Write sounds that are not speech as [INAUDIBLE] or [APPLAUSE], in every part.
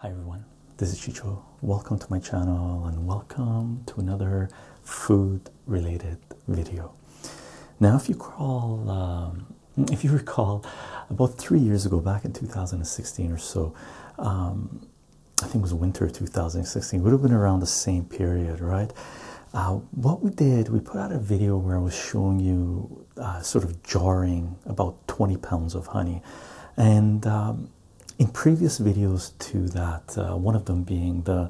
Hi everyone, this is Chicho. Welcome to my channel and welcome to another food related video. Now, if you crawl, um, if you recall, about three years ago, back in 2016 or so, um, I think it was winter 2016, It would have been around the same period, right? Uh, what we did, we put out a video where I was showing you uh, sort of jarring about 20 pounds of honey, and um, in previous videos to that, uh, one of them being the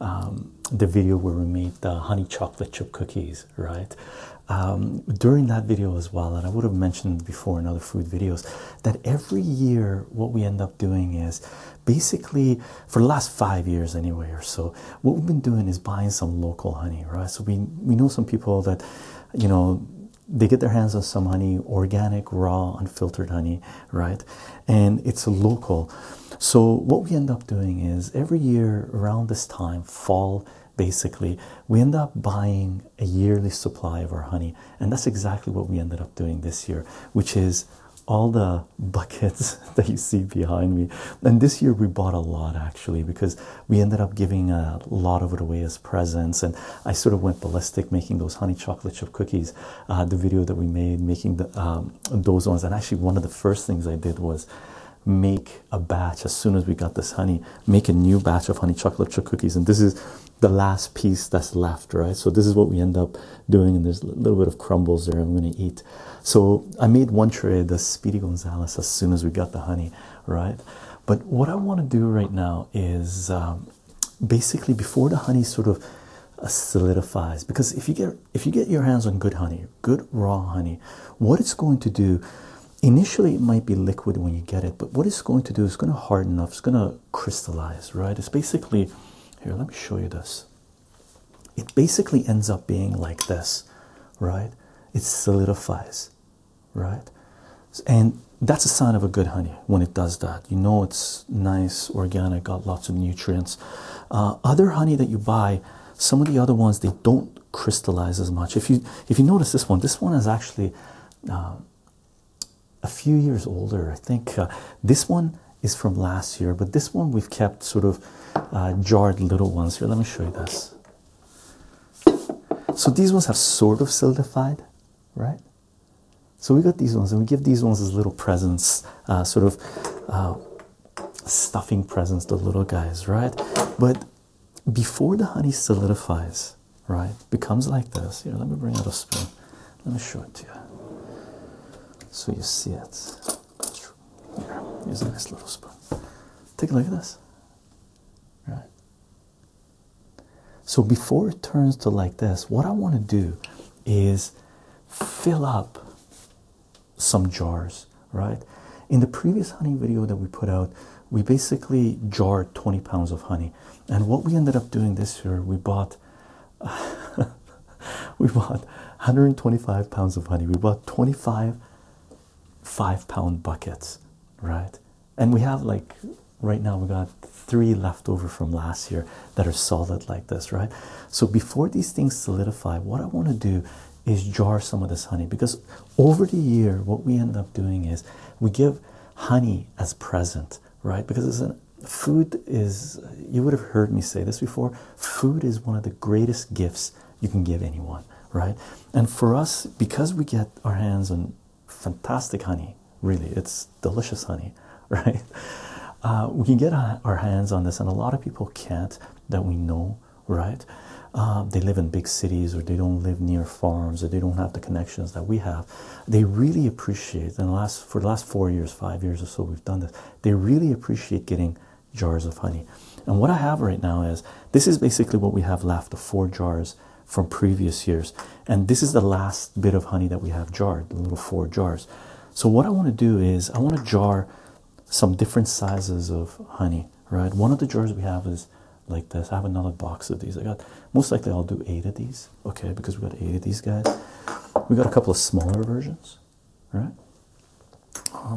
um, the video where we made the honey chocolate chip cookies, right? Um, during that video as well, and I would have mentioned before in other food videos that every year, what we end up doing is basically for the last five years anyway or so what we've been doing is buying some local honey right so we we know some people that you know they get their hands on some honey organic raw unfiltered honey right and it's local so what we end up doing is every year around this time fall basically we end up buying a yearly supply of our honey and that's exactly what we ended up doing this year which is all the buckets [LAUGHS] that you see behind me. And this year we bought a lot actually because we ended up giving a lot of it away as presents. And I sort of went ballistic making those honey chocolate chip cookies. Uh, the video that we made making the, um, those ones. And actually, one of the first things I did was make a batch as soon as we got this honey, make a new batch of honey chocolate chip cookies. And this is the last piece that's left, right? So, this is what we end up doing, and there's a little bit of crumbles there I'm going to eat. So I made one tray the Speedy Gonzalez, as soon as we got the honey, right? But what I want to do right now is um, basically before the honey sort of uh, solidifies, because if you get if you get your hands on good honey, good raw honey, what it's going to do. Initially, it might be liquid when you get it, but what it's going to do is going to harden up, it's going to crystallize, right? It's basically here, let me show you this it basically ends up being like this, right? It solidifies, right? And that's a sign of a good honey when it does that. You know it's nice, organic, got lots of nutrients. Uh, other honey that you buy, some of the other ones they don't crystallize as much. If you if you notice this one, this one is actually uh, a few years older. I think uh, this one is from last year, but this one we've kept sort of uh, jarred little ones here. Let me show you this. So these ones have sort of solidified, right? So we got these ones, and we give these ones as little presents, uh, sort of uh, stuffing presents, the little guys, right? But before the honey solidifies, right, becomes like this. Here, let me bring out a spoon. Let me show it to you. So you see it. Here, a nice little spoon. Take a look at this. Right. So before it turns to like this, what I want to do is fill up some jars, right? In the previous honey video that we put out, we basically jarred 20 pounds of honey. And what we ended up doing this year, we bought [LAUGHS] [LAUGHS] we bought 125 pounds of honey. We bought 25 five pound buckets, right? And we have like right now, we got three left over from last year that are solid like this, right? So before these things solidify, what I want to do is jar some of this honey because over the year, what we end up doing is we give honey as present, right? Because food is you would have heard me say this before food is one of the greatest gifts you can give anyone, right? And for us, because we get our hands on fantastic honey, really, it's delicious honey, [LAUGHS] right? Uh, we can get our hands on this, and a lot of people can't that we know, right? Uh, they live in big cities or they don't live near farms or they don't have the connections that we have. They really appreciate, and last for the last four years, five years or so, we've done this. They really appreciate getting jars of honey. And what I have right now is this is basically what we have left the four jars from previous years. And this is the last bit of honey that we have jarred, the little four jars. So, what I want to do is I want to jar some different sizes of honey, right? One of the jars we have is like this. I have another box of these. I got most likely I'll do eight of these, okay? Because we got eight of these guys. We got a couple of smaller versions, right? Um,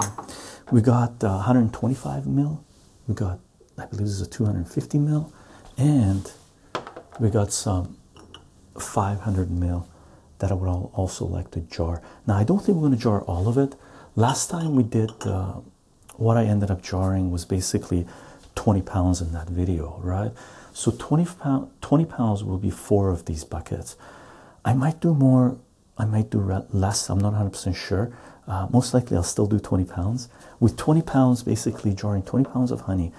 we got 125 uh, mil, we got, I believe, this is a 250 mil, and we got some 500 mil that I would also like to jar. Now, I don't think we're going to jar all of it. Last time we did, uh, what I ended up jarring was basically 20 pounds in that video, right? So 20 pounds 20 pounds will be four of these buckets. I might do more I might do less. I'm not 100% sure. Uh, most likely, I'll still do 20 pounds. With 20 pounds, basically, jarring 20 pounds of honey.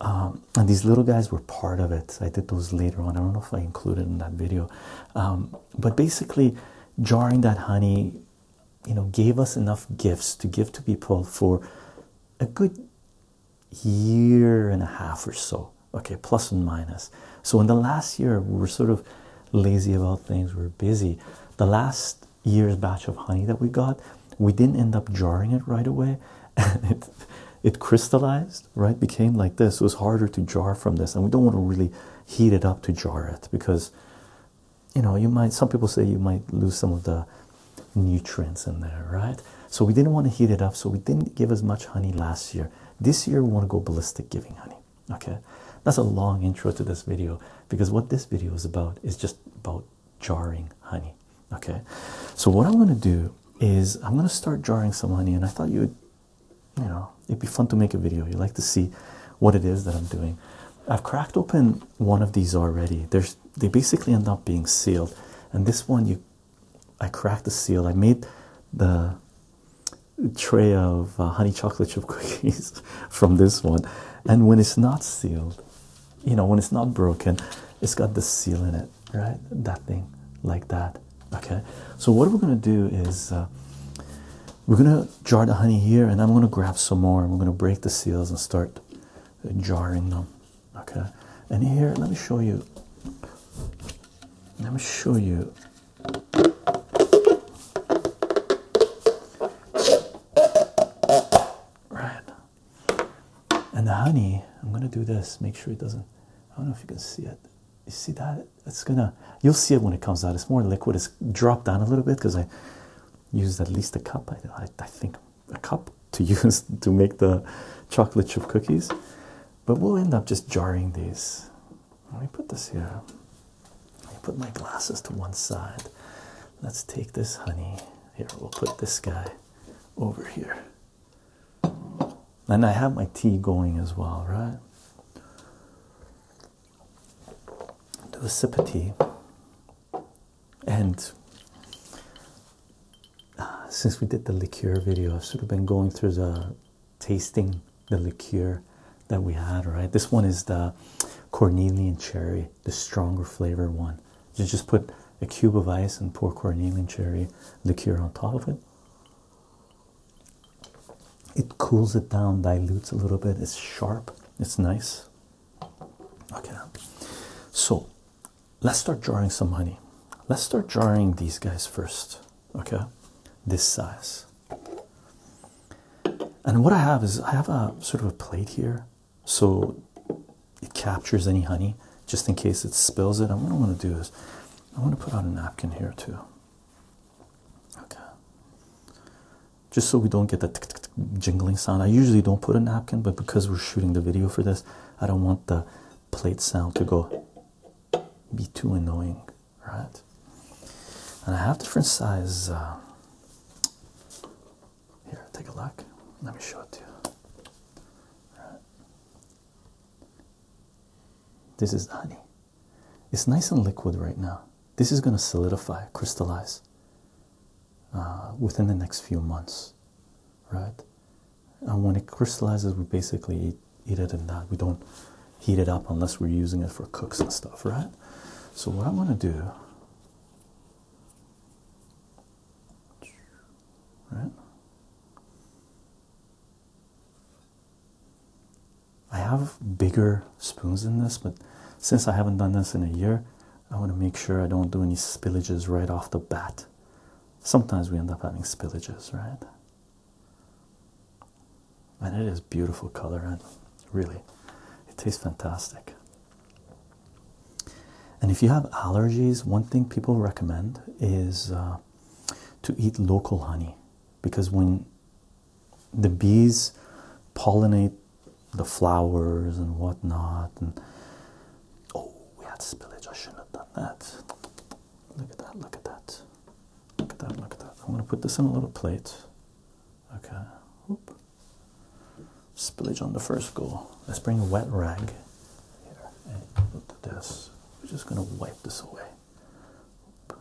Um, and these little guys were part of it. I did those later on. I don't know if I included in that video. Um, but basically, jarring that honey, you know, gave us enough gifts to give to people for a good year and a half or so okay, plus and minus. So in the last year, we are sort of lazy about things, we are busy. The last year's batch of honey that we got, we didn't end up jarring it right away. And [LAUGHS] it, it crystallized, right? Became like this. It was harder to jar from this, and we don't want to really heat it up to jar it because you know you might some people say you might lose some of the nutrients in there, right? So we didn't want to heat it up, so we didn't give as much honey last year. This year, we want to go ballistic giving, honey. Okay, that's a long intro to this video because what this video is about is just about jarring honey. Okay, so what I'm going to do is I'm going to start jarring some honey, and I thought you would, you know, it'd be fun to make a video. You like to see what it is that I'm doing. I've cracked open one of these already. There's they basically end up being sealed, and this one you I cracked the seal. I made the tray of uh, honey chocolate chip [LAUGHS] cookies from this one. And when it's not sealed, you know, when it's not broken, it's got the seal in it, right? That thing, like that. Okay. So, what we're going to do is uh, we're going to jar the honey here, and I'm going to grab some more, and we're going to break the seals and start jarring them. Okay. And here, let me show you. Let me show you Right. And the honey, I'm gonna do this, make sure it doesn't. I don't know if you can see it. You see that? It's gonna, you'll see it when it comes out. It's more liquid, it's dropped down a little bit because I used at least a cup, I, I think a cup to [LAUGHS] use to make the chocolate chip cookies. But we'll end up just jarring these. Let me put this here. I put my glasses to one side. Let's take this honey. Here, we'll put this guy over here. And I have my tea going as well, right? Do a sip tea. And uh, since we did the liqueur video, I've sort of been going through the tasting the liqueur that we had, right? This one is the Cornelian cherry, the stronger flavor one. just put a cube of ice and pour Cornelian cherry liqueur on top of it. It cools it down, dilutes a little bit. It's sharp, it's nice. Okay, so let's start jarring some honey. Let's start jarring these guys first okay this size and what i have is i have a sort of a plate here so it captures any honey just in case it spills it and what i want to do is i want to put out a napkin here too okay just so we don't get that jingling sound i usually don't put a napkin but because we're shooting the video for this i don't want the plate sound to go be too annoying right? And I have different size. Uh, here, take a look. Let me show it to you. This is honey. It's nice and liquid right now. This is going to solidify, crystallize uh, within the next few months, right? And when it crystallizes, we basically eat eat it in that. We don't heat it up unless we're using it for cooks and stuff, right? So, what I want to do. Right? I have bigger spoons in this, but since I haven't done this in a year, I want to make sure I don't do any spillages right off the bat. Sometimes we end up having spillages, right? and it is beautiful color and really it tastes fantastic and if you have allergies one thing people recommend is uh, to eat local honey because when the bees pollinate the flowers and whatnot and oh we had spillage i shouldn't have done that look at that look at that Look at that, look at that. I'm going to put this in a little plate. Okay. Whoop. Spillage on the first go. Let's bring a wet rag here and this. We're just going to wipe this away. Whoop.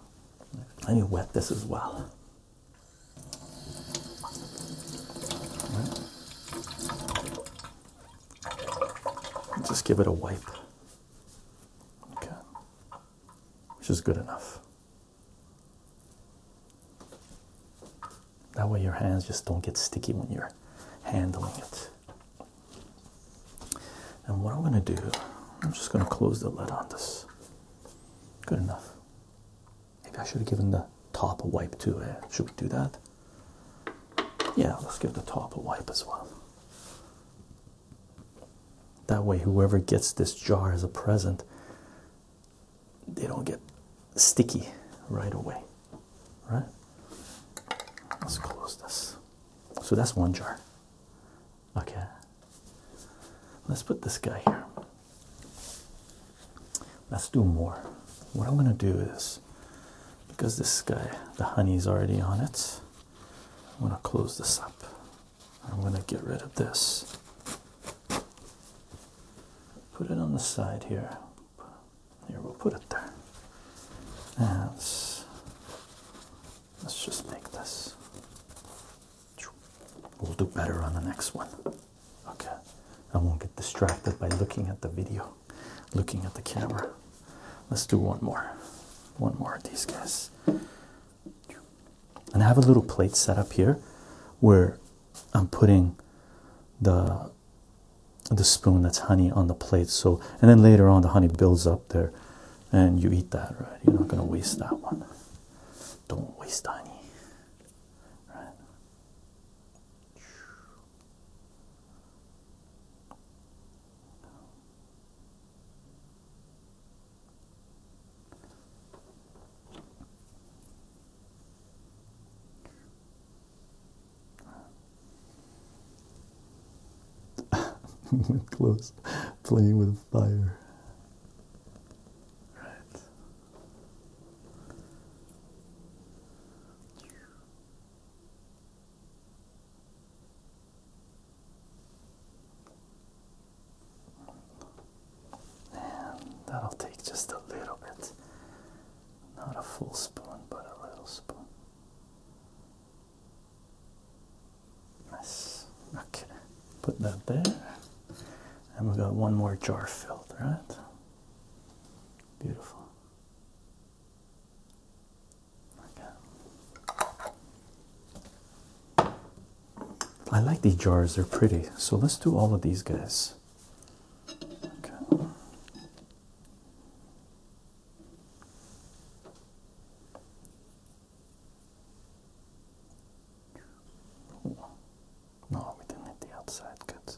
I need wet this as well. Just give it a wipe. Okay, which is good enough. That way, your hands just don't get sticky when you're handling it. And what I'm going to do, I'm just going to close the lid on this. Good enough. Maybe I should have given the top a wipe too. Eh? Should we do that? Yeah, let's give the top a wipe as well. That way, whoever gets this jar as a present, they don't get sticky right away. Right? Let's close this. So that's one jar. Okay. Let's put this guy here. Let's do more. What I'm going to do is because this guy, the honey's already on it. I'm gonna close this up. I'm gonna get rid of this. Put it on the side here. Here we'll put it there. And let's, just make this. We'll do better on the next one. Okay. I won't get distracted by looking at the video, looking at the camera. Let's do one more. One more of these guys. And I have a little plate set up here where I'm putting the the spoon that's honey on the plate. So and then later on the honey builds up there and you eat that, right? You're not gonna waste that one. Don't waste honey. Right. [LAUGHS] close playing with fire right and that'll take just a little bit. Not a full spoon, but a little spoon. Nice. Okay. Put that there. And we've got one more jar filled, right? Beautiful. I like these jars, they're pretty. So let's do all of these guys. Okay. No, we didn't need the outside goods.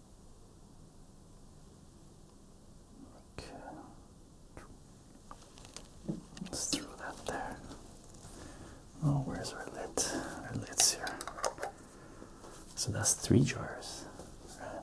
Okay. Let's throw that there. Oh, where's our lid? Our lid's here. So that's three jars. Right.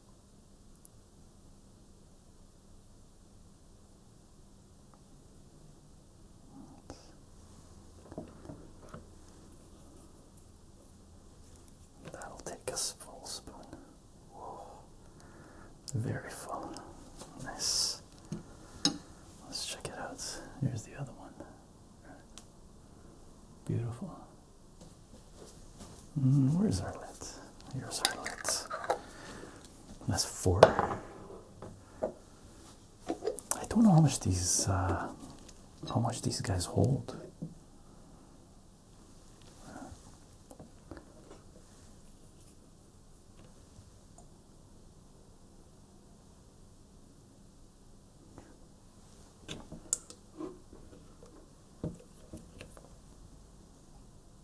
That'll take a full spoon. Whoa. Very full. Nice. Let's check it out. Here's the other one. Beautiful. Mm, where's our lid? Here's our lid. That's four. I don't know how much these uh, how much these guys hold.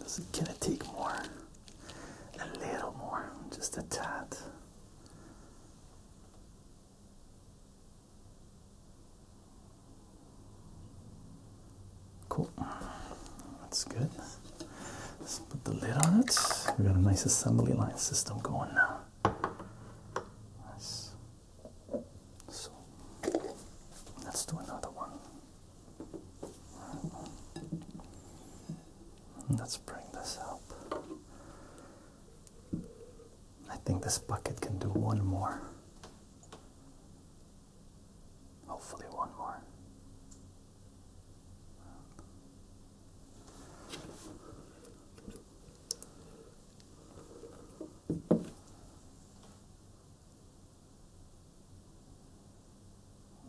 This is gonna take more, a little more, just a tad. Cool, that's good. Let's put the lid on it. We've got a nice assembly line system going now. Nice. So let's do another one. Let's bring this up. I think this bucket can do one more. Hopefully, one more.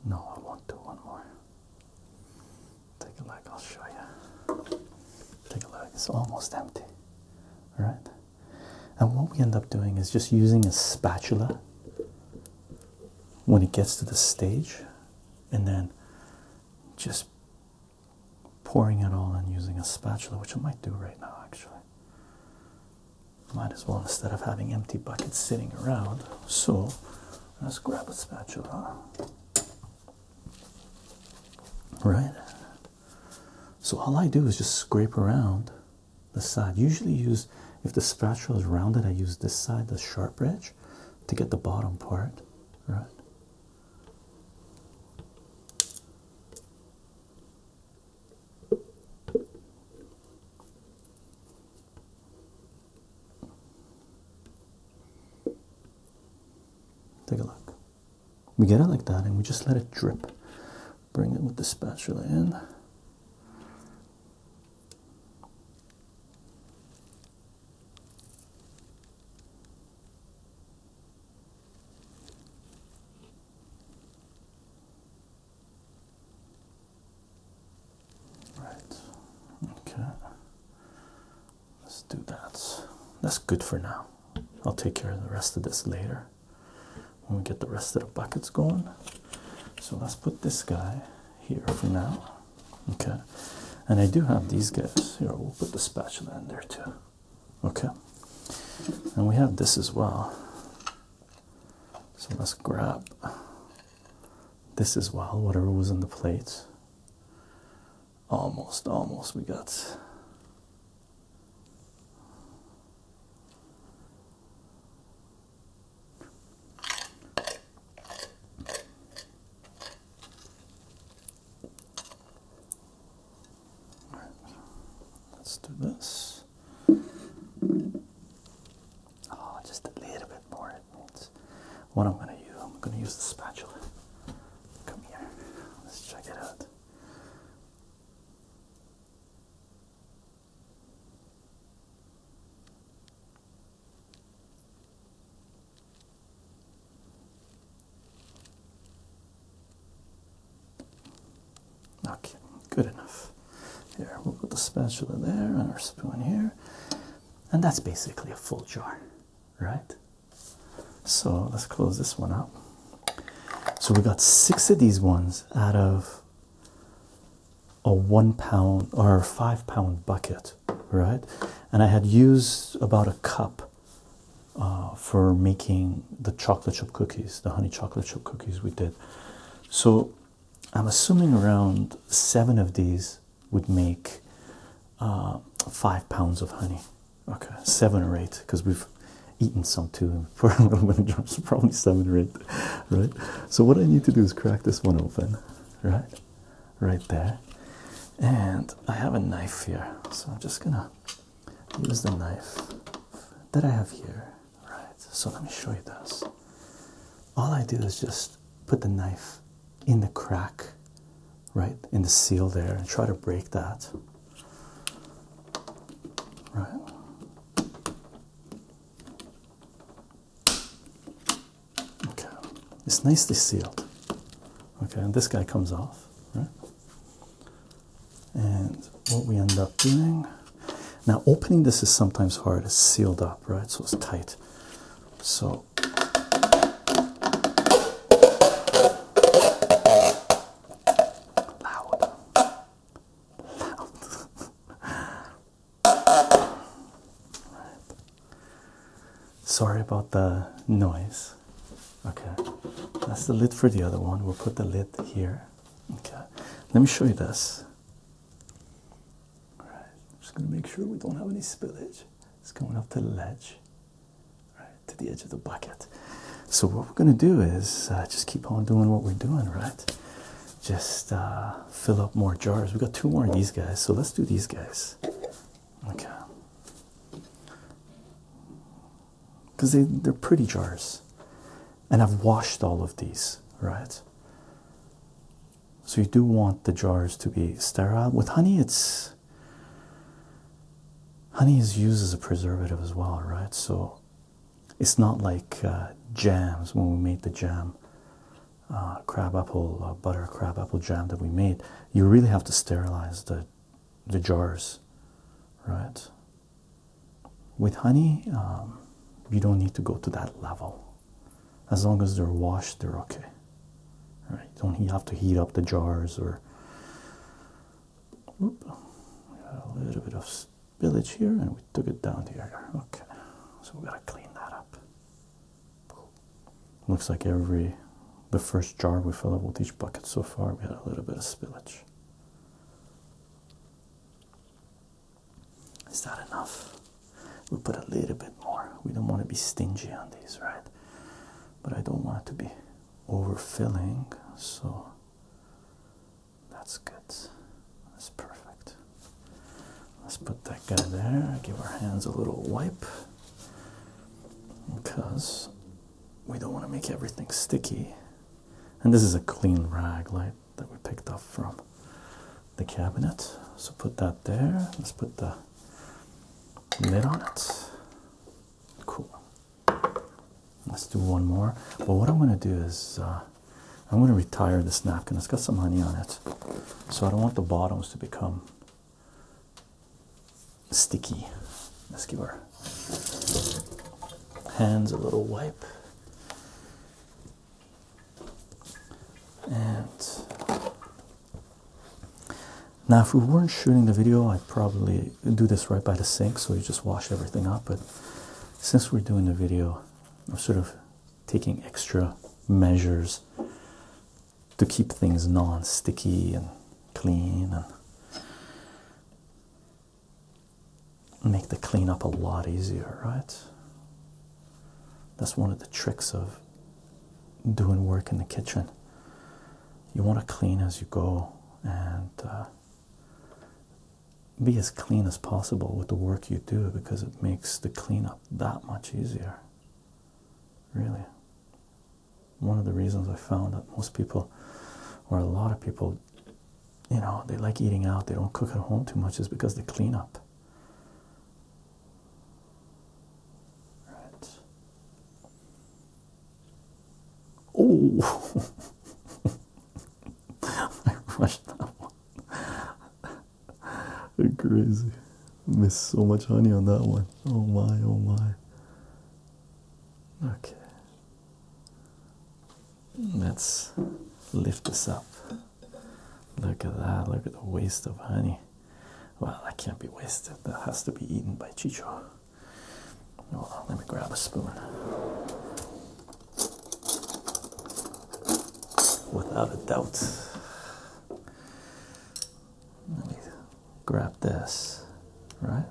No, I won't do one more. Take a look, I'll show you. Take a look, it's almost empty. Alright? And what we end up doing is just using a spatula when it gets to the stage and then just pouring it all and using a spatula, which I might do right now actually. Might as well instead of having empty buckets sitting around. So let's grab a spatula. Right? So all I do is just scrape around the side. Usually use if the spatula is rounded, I use this side, the sharp edge, to get the bottom part. Right? Take a look. We get it like that and we just let it drip. Bring it with the spatula in. Right. Okay. Let's do that. That's good for now. I'll take care of the rest of this later when we get the rest of the buckets going. So let's put this guy here for now. Okay. And I do have these guys here. We'll put the spatula in there too. Okay, and we have this as well. So let's grab this as well, whatever was in the plate. Almost, almost, we got. All right. Let's do this. Oh, just a little bit more. What I'm gonna do? I'm gonna use the spatula. Come here. Let's check it out. Okay, good enough. Here, we'll put the spatula there and our spoon here. And that's basically a full jar, right? So let's close this one up. So we got six of these ones out of a one pound or five pound bucket, right? And I had used about a cup uh, for making the chocolate chip cookies, the honey chocolate chip cookies we did. So I'm assuming around seven of these would make uh, five pounds of honey. Okay, seven or eight, because we've eaten some too [LAUGHS] probably seven or eight, right? So what I need to do is crack this one open, right? Right there. And I have a knife here, so I'm just gonna Use the knife that I have here. Right, so let me show you this. All I do is just put the knife in the crack, right, in the seal there, and try to break that. Right. Okay, it's nicely sealed. Okay, and this guy comes off, right? And what we end up doing now, opening this is sometimes hard, it's sealed up, right? So it's tight. So loud, loud. [LAUGHS] Sorry about the noise. Okay, that's the lid for the other one. We'll put the lid here. Okay, let me show you this. All right, I'm just gonna make sure we don't have any spillage. It's going up to the ledge, right to the edge of the bucket. So what we're gonna do is uh, just keep on doing what we're doing, right? Just uh, fill up more jars. We got two more of these guys, so let's do these guys. Okay because they, they're pretty jars. And I've washed all of these, right? So you do want the jars to be sterile. With honey, it's honey is used as a preservative as well, right? So it's not like uh, jams when we made the jam, uh, crab apple, uh, butter crab apple jam that we made. You really have to sterilize the the jars, right? With honey, um, you don't need to go to that level. As long as they're washed, they're okay. All right? Don't have to heat up the jars or. a little bit of spillage here, and we took it down here. Okay, so we gotta clean that up. Looks like every the first jar we filled up with each bucket so far, we had a little bit of spillage. Is that enough? we put a little bit more. We don't want to be stingy on these, right? But I don't want to be overfilling, so that's good. That's perfect. Let's put that guy there, give our hands a little wipe because we don't want to make everything sticky. And this is a clean rag light that we picked up from the cabinet. So put that there. Let's put the lid on it. Cool. Let's do one more. But what I'm going to do is uh, I'm going to retire this napkin. It's got some honey on it. So I don't want the bottoms to become sticky. Let's give our hands a little wipe. And now, if we weren't shooting the video, I'd probably do this right by the sink so you just wash everything up. But since we're doing the video, I'm sort of taking extra measures to keep things non sticky and clean and make the cleanup a lot easier, right? That's one of the tricks of doing work in the kitchen. You want to clean as you go and uh, be as clean as possible with the work you do because it makes the cleanup that much easier. Really one of the reasons I found that most people, or a lot of people, you know, they like eating out, they don't cook at home too much, is because they clean up. Right. Oh, [LAUGHS] I crushed that one. [LAUGHS] Crazy. Missed so much honey on that one. Oh my, oh my. Okay. Let's lift this up. Look at that. Look at the waste of honey. Well, that can't be wasted. That has to be eaten by Chicho. Hold let me grab a spoon. Without a doubt grab this, right?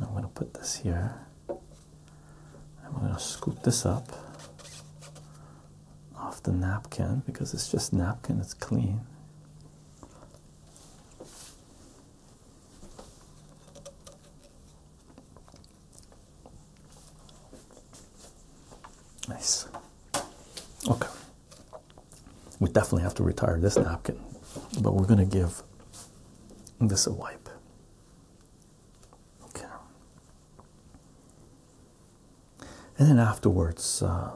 I'm going to put this here. I'm going to scoop this up off the napkin because it's just napkin, it's clean. Nice. Okay. We definitely have to retire this napkin, but we're going to give this a wipe. Okay. And then afterwards, uh,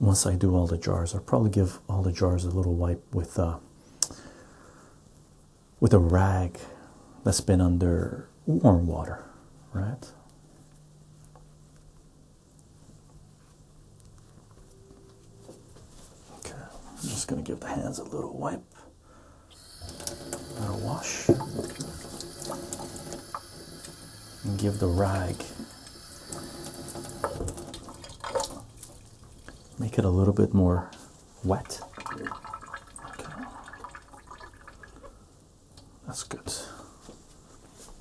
once I do all the jars, I'll probably give all the jars a little wipe with uh, with a rag that's been under warm water, right? Okay, I'm just going to give the hands a little wipe or wash and give the rag, make it a little bit more wet. That's good.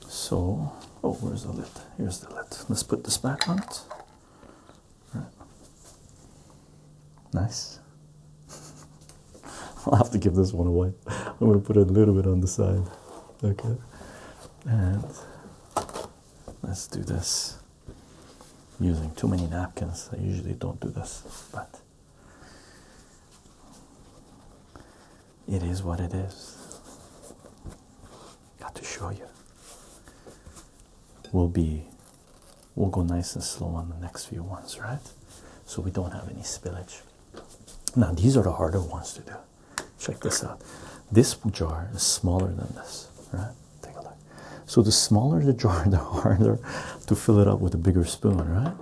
So, oh, where's the lid? Here's the lid. Let's put this back on it. Nice. [LAUGHS] I'll have to give this one away. I'm going to put a little bit on the side. Okay. And let's do this using too many napkins. I usually don't do this, but it is what it is. Got to show you. We'll be, we'll go nice and slow on the next few ones, right? So we don't have any spillage. Now, these are the harder ones to do. Check this out. This jar is smaller than this, right? Take a look. So, the smaller the jar, [LAUGHS] the harder to fill it up with a bigger spoon, right?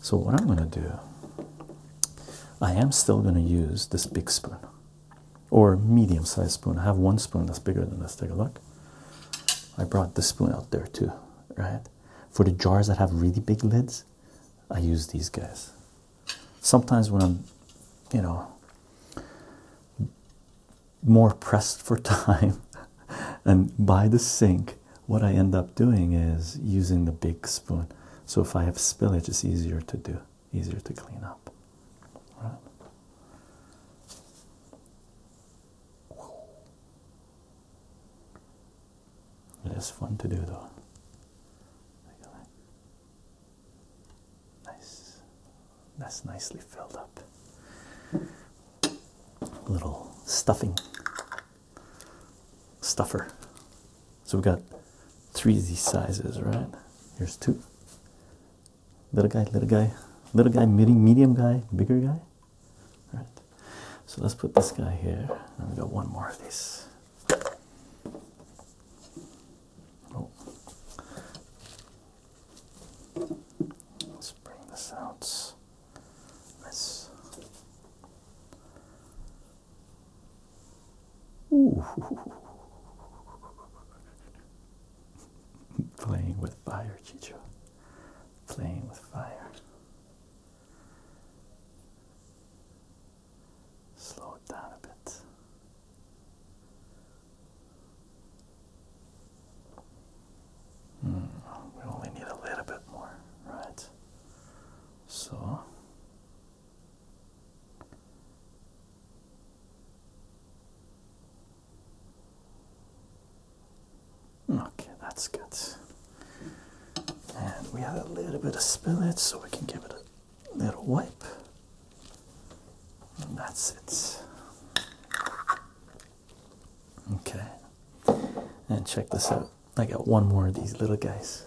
So, what I'm going to do, I am still going to use this big spoon or medium sized spoon. I have one spoon that's bigger than this. Take a look. I brought this spoon out there too, right? For the jars that have really big lids, I use these guys. Sometimes when I'm, you know, more pressed for [LAUGHS] time and by the sink what I end up doing is using the big spoon. So if I have spillage, it's easier to do, easier to clean up. Right. It is fun to do though. Nice. That's nicely filled up. Little stuffing stuffer. So we got three of these sizes, right? Here's two. Little guy, little guy, little guy, medium, medium guy, bigger guy. All right. So let's put this guy here. And we got one more of these. Oh. Let's bring this out. Nice. Ooh. [LAUGHS] Playing with fire, Chicho. Playing with fire. Slow it down a bit. Hmm, we only need a little bit more, right? So okay, that's good. And we have a little bit of spillage, so we can give it a little wipe. And that's it. Okay. And check this out. I got one more of these little guys.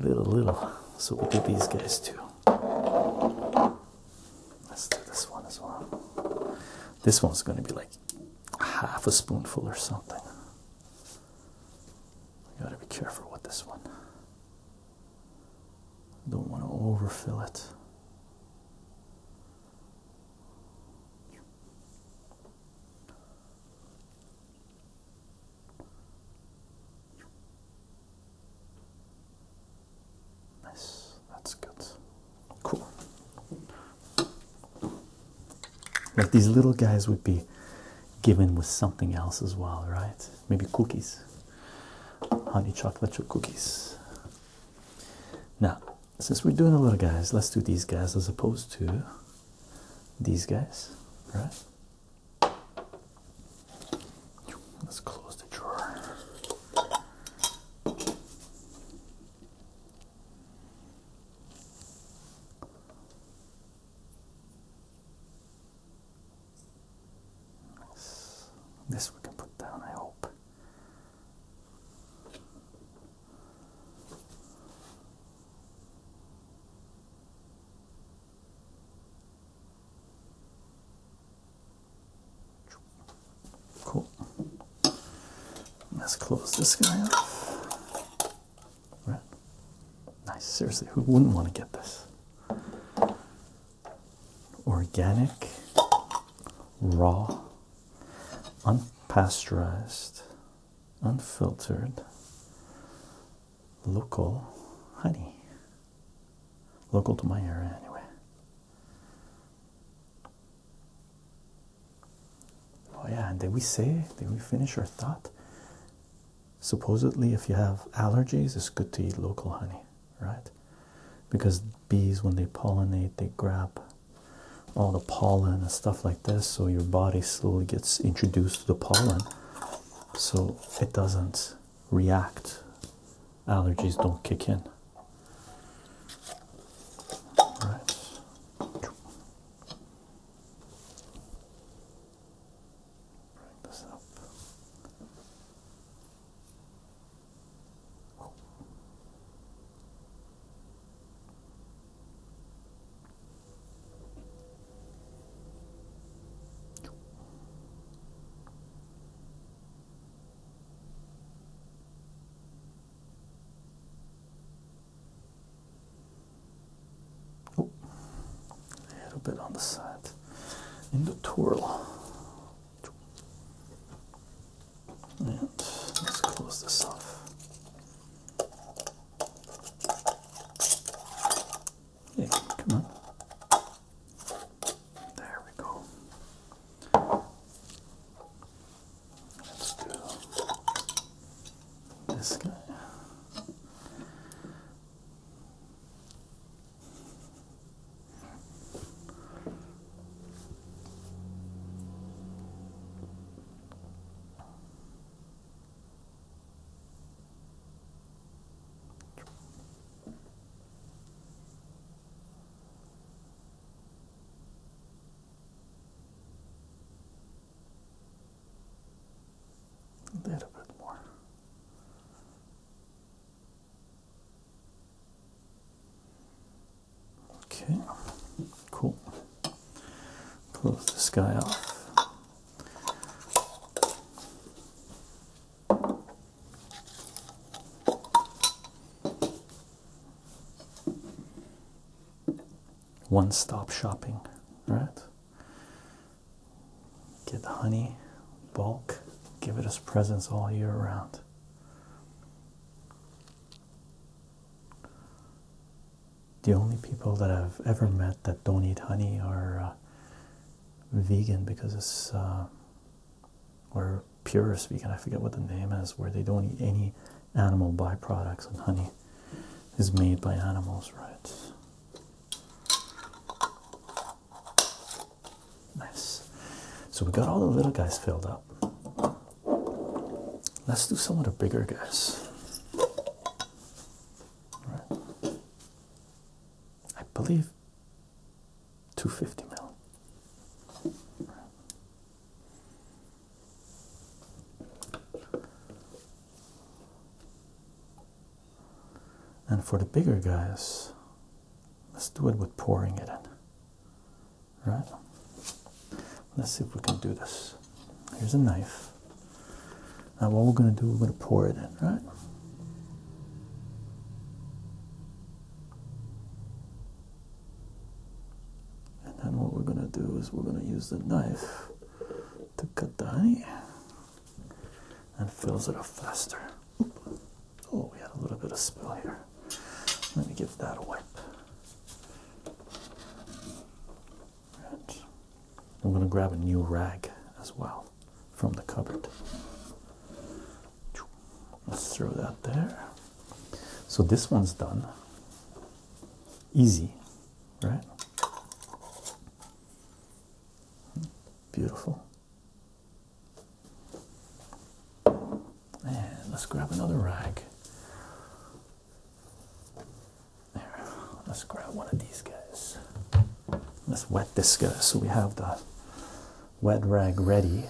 Little, little. So we'll do these guys too. Let's do this one as well. This one's going to be like half a spoonful or something. You gotta be careful with this one. Don't want to overfill it. Nice, that's good. Cool. Like these little guys would be given with something else as well, right? Maybe cookies, honey chocolate chip cookies. Now, since we're doing a little guys, let's do these guys as opposed to these guys, right? Let's close the drawer. This we can put down, I hope. Cool. Let's close this guy off. Right. Nice. Seriously, who wouldn't want to get this? Organic, raw, unpasteurized unfiltered local honey local to my area anyway oh yeah and did we say did we finish our thought supposedly if you have allergies it's good to eat local honey right because bees when they pollinate they grab all the pollen and stuff like this so your body slowly gets introduced to the pollen so it doesn't react allergies don't kick in all right. Bring this up. Oh, a little bit on the side in the twirl. And let's close this off. Yeah, come on. There we go. Let's do this guy. A little bit more. Okay, cool. Pull this guy off. One stop shopping, right? Get the honey, bulk, give it us presents all year round the only people that I've ever met that don't eat honey are uh, vegan because it's uh, or purist vegan. I forget what the name is, where they don't eat any animal byproducts, and honey is made by animals, right? Nice. So we got all the little guys filled up. Let's do some of the bigger guys. Right. I believe 250 mil. And for the bigger guys, let's do it with pouring it in. Right? Let's see if we can do this. Here's a knife. Now, what we're going to do, we're going to pour it in, right? And then what we're going to do is we're going to use the knife to cut the honey and fills it up faster. Oh, we had a little bit of spill here. Let me give that a wipe. I'm going to grab a new rag as well from the cupboard. Let's throw that there. So this one's done. Easy, right? Beautiful. And let's grab another rag let's grab one of these guys. Let's wet this guy so we have the wet rag ready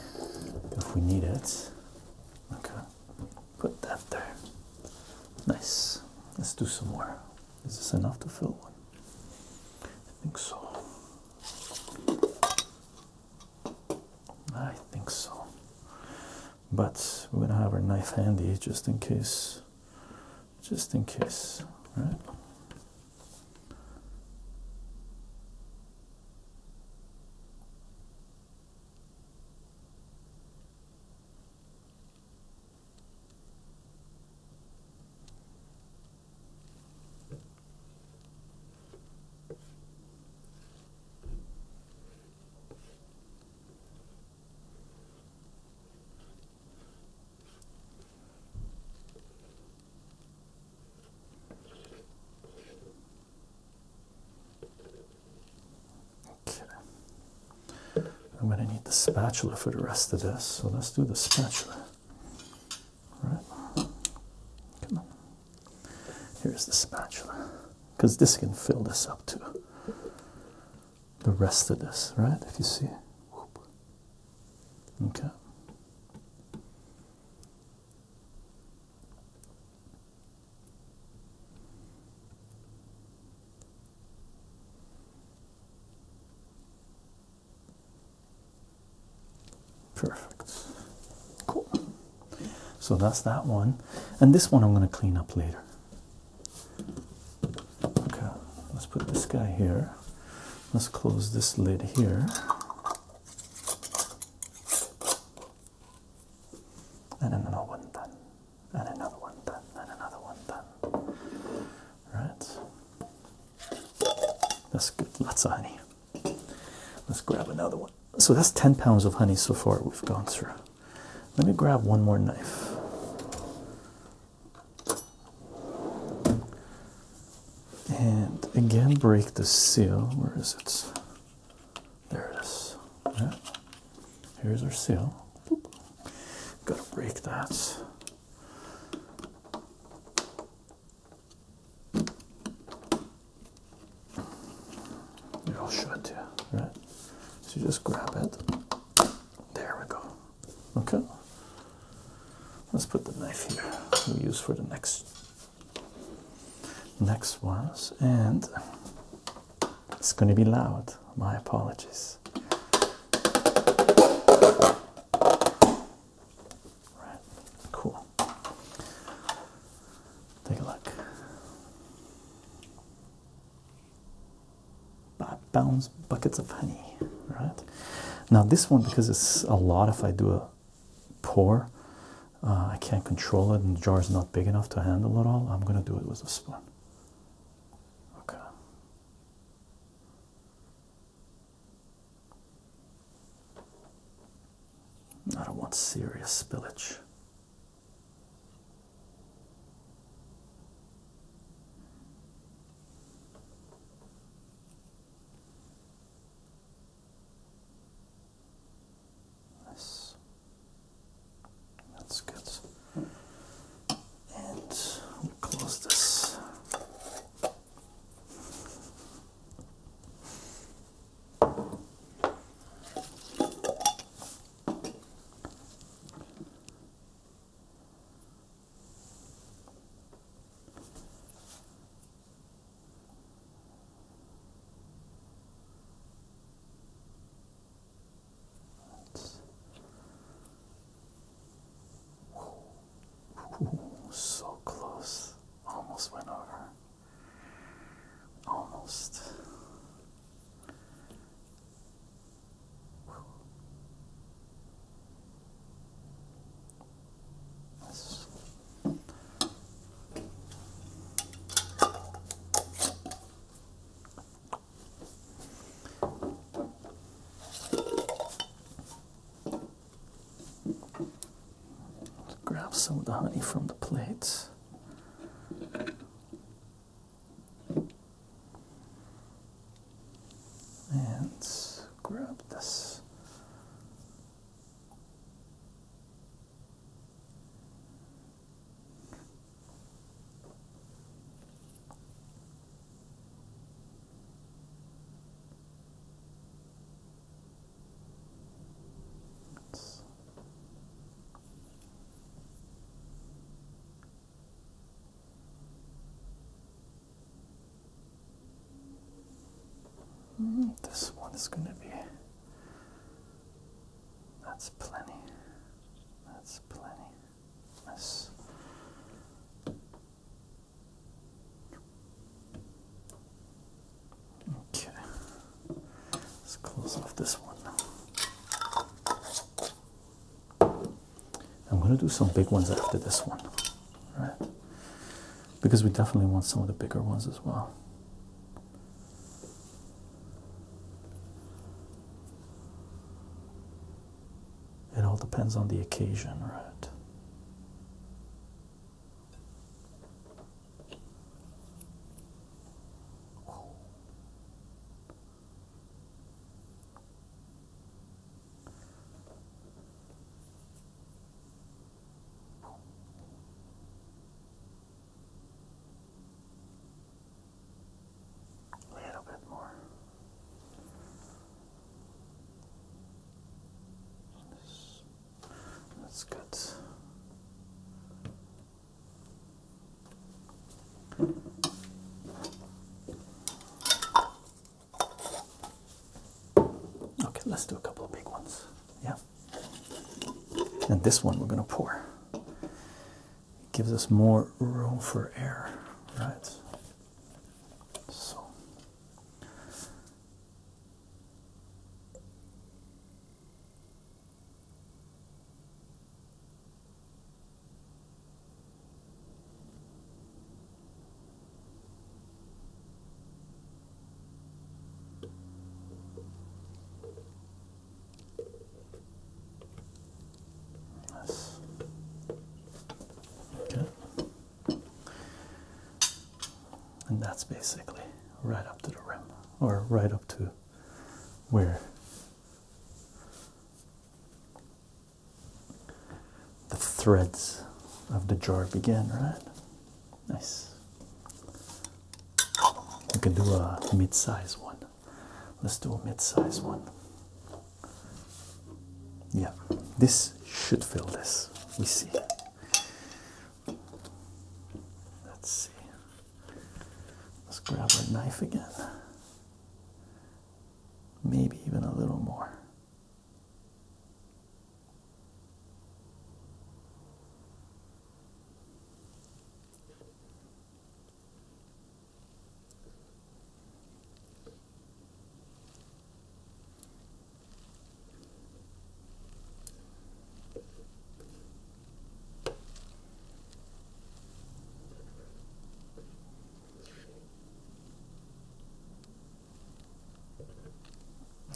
if we need it. Okay, put that there. Nice. Let's do some more. Is this enough to fill one? I think so. I think so but we're gonna have our knife handy just in case just in case right Okay. I'm going to need the spatula for the rest of this, so let's do the spatula. All right? Come on. Here's the spatula, because this can fill this up too the rest of this, right? If you see, okay. Perfect. Cool. So that's that one. And this one I'm going to clean up later. Okay, let's put this guy here. Let's close this lid here. And another one done. And another one done. And another one done. Right. That's good. Lots of honey. Let's grab another one. So that's 10 pounds of honey so far we've gone through. Let me grab one more knife. And again, break the seal. Where is it? There it is. Right. Here's our seal. Gotta break that. You all should, yeah, right? So just grab it. There we go. Okay. Let's put the knife here. We use for the next next ones, and it's going to be loud. My apologies. Right. Cool. Take a look pounds buckets of honey right now this one because it's a lot if i do a pour uh, i can't control it and the jar is not big enough to handle it all i'm going to do it with a spoon okay i don't want serious spillage Nice. That's good. And close this so close. Almost went over. Almost. Let's grab some of the honey from the plate. And grab this. Hmm, this one is going to be. That's plenty. That's plenty. Yes. Okay. Let's close off this one I'm going to do some big ones after this one, right? Because we definitely want some of the bigger ones as well. It all depends on the occasion, right? A little bit more. That's good. Okay, let's do a couple of big ones. Yeah. And this one we're going to pour. gives us more room for air, right? So. Yes. Okay. And that's basically right up to the rim, or right up to where the threads of the jar begin, right? Nice. We can do a mid size one. Let's do a mid size one. Yeah, this should fill this. We see. Let's see. Let's grab our knife again maybe even a little more.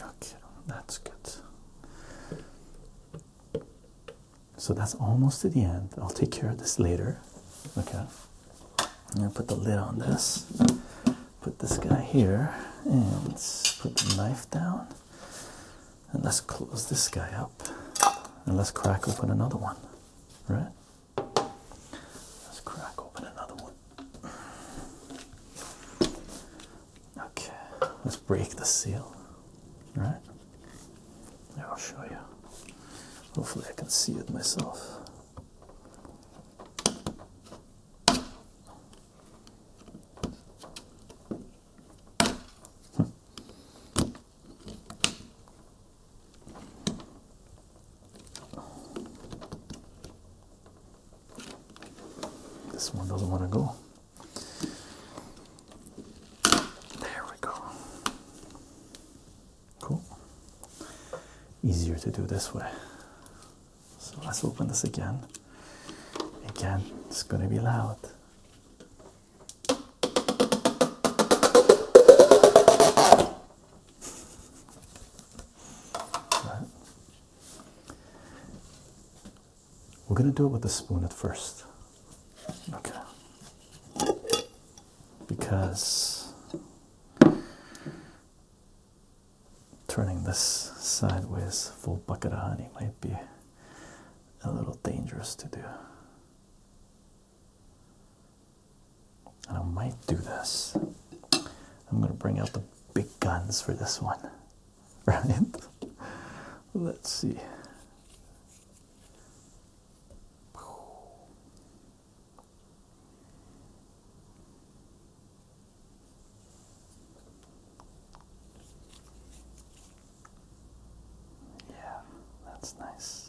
Okay, that's good. So that's almost to the end. I'll take care of this later. Okay. I'm gonna put the lid on this. Put this guy here and put the knife down. And let's close this guy up. And let's crack open another one. Right? Let's crack open another one. Okay, let's break the seal. Right? I'll show you. Hopefully, I can see it myself. Hmm. This one doesn't want to go. There we go. Cool. Easier to do this way. So let's open this again. Again, it's going to be loud. We're going to do it with a spoon at first. Okay. Because turning this sideways full bucket of honey might be a little dangerous to do. I might do this. I'm going to bring out the big guns for this one. [LAUGHS] Right? Let's see. Yeah, that's nice.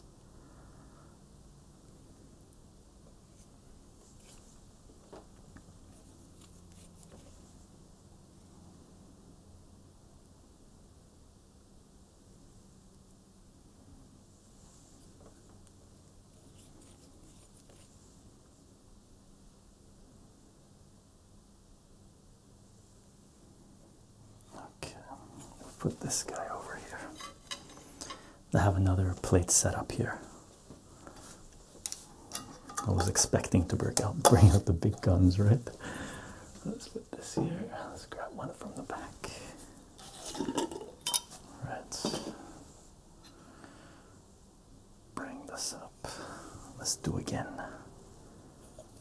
Okay, put this guy over here. I have another plate set up here. I was expecting to break out, [LAUGHS] bring out the big guns, right? Let's put this here. Let's grab one from the back. All right. Bring this up. Let's do again.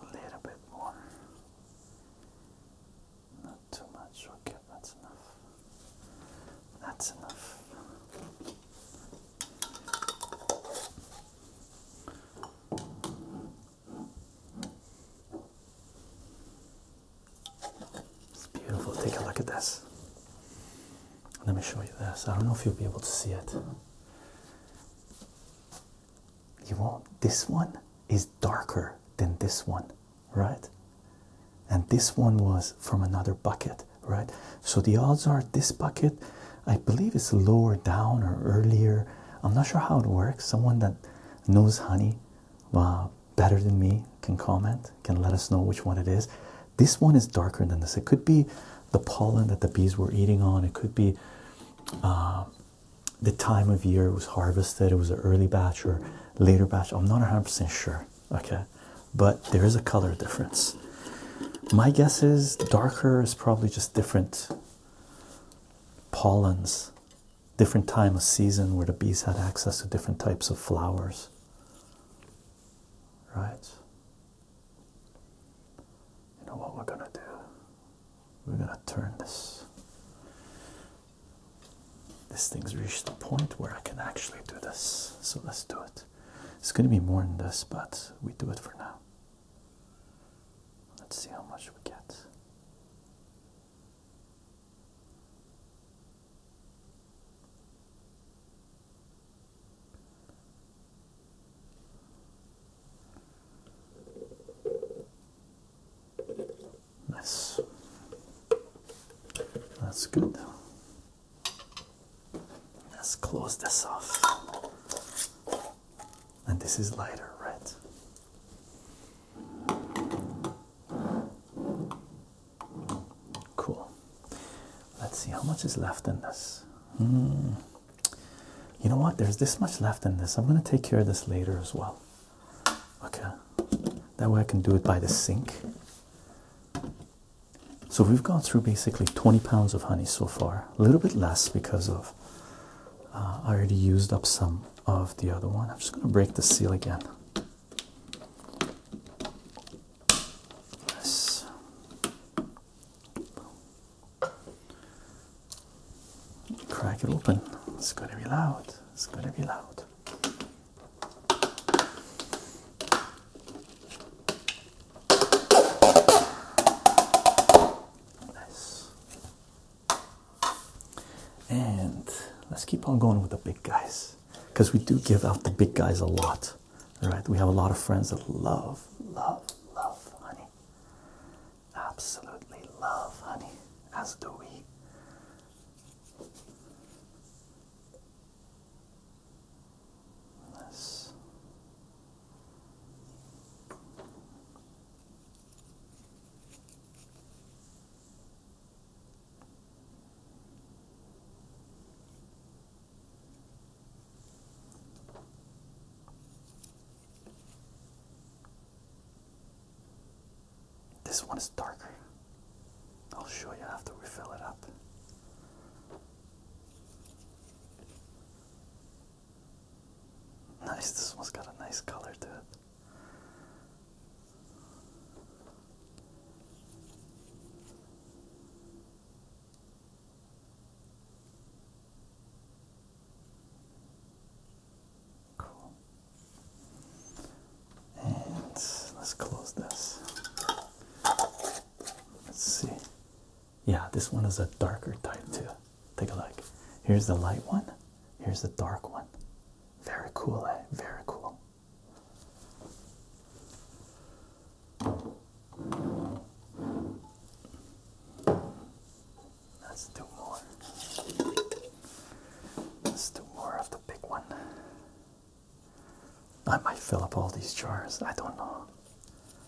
A little bit more. Not too much. Okay, that's enough. That's enough. It's beautiful. Take a look at this. Let me show you this. I don't know if you'll be able to see it. You want This one is darker than this one, right? And this one was from another bucket, right? So the odds are this bucket I believe it's lower down or earlier. I'm not sure how it works. Someone that knows honey uh, better than me can comment, can let us know which one it is. This one is darker than this. It could be the pollen that the bees were eating on, it could be uh, the time of year it was harvested, it was an early batch or later batch. I'm not 100% sure, okay? But there is a color difference. My guess is darker is probably just different pollens, different time of season where the bees had access to different types of flowers. Right? You know what we're gonna do? We're gonna turn this. This thing's reached the point where I can actually do this. So let's do it. It's gonna be more than this, but we do it for now. Let's see how much we get. Nice. That's good. Let's close this off and this is lighter, red. Cool. Let's see how much is left in this. Hmm. You know what? There's this much left in this. I'm going to take care of this later as well. Okay. That way I can do it by the sink. So we've gone through basically 20 pounds of honey so far a little bit less because of uh, I already used up some of the other one. I'm just going to break the seal again. Yes. Crack it open. It's going to be loud. It's going to be loud. And let's keep on going with the big guys because we do give out the big guys a lot. Right? We have a lot of friends that love, love, love honey. Absolutely love honey, as do we. Nice. This one is darker. I'll show you after we fill it up. Nice, this one's got a nice color to it. Cool. And let's close this. Let's see. Yeah, this one is a darker type too. Take a look. Here's the light one. Here's the dark one. Very cool, eh? Very cool. Let's do more. Let's do more of the big one. I might fill up all these jars. I don't know.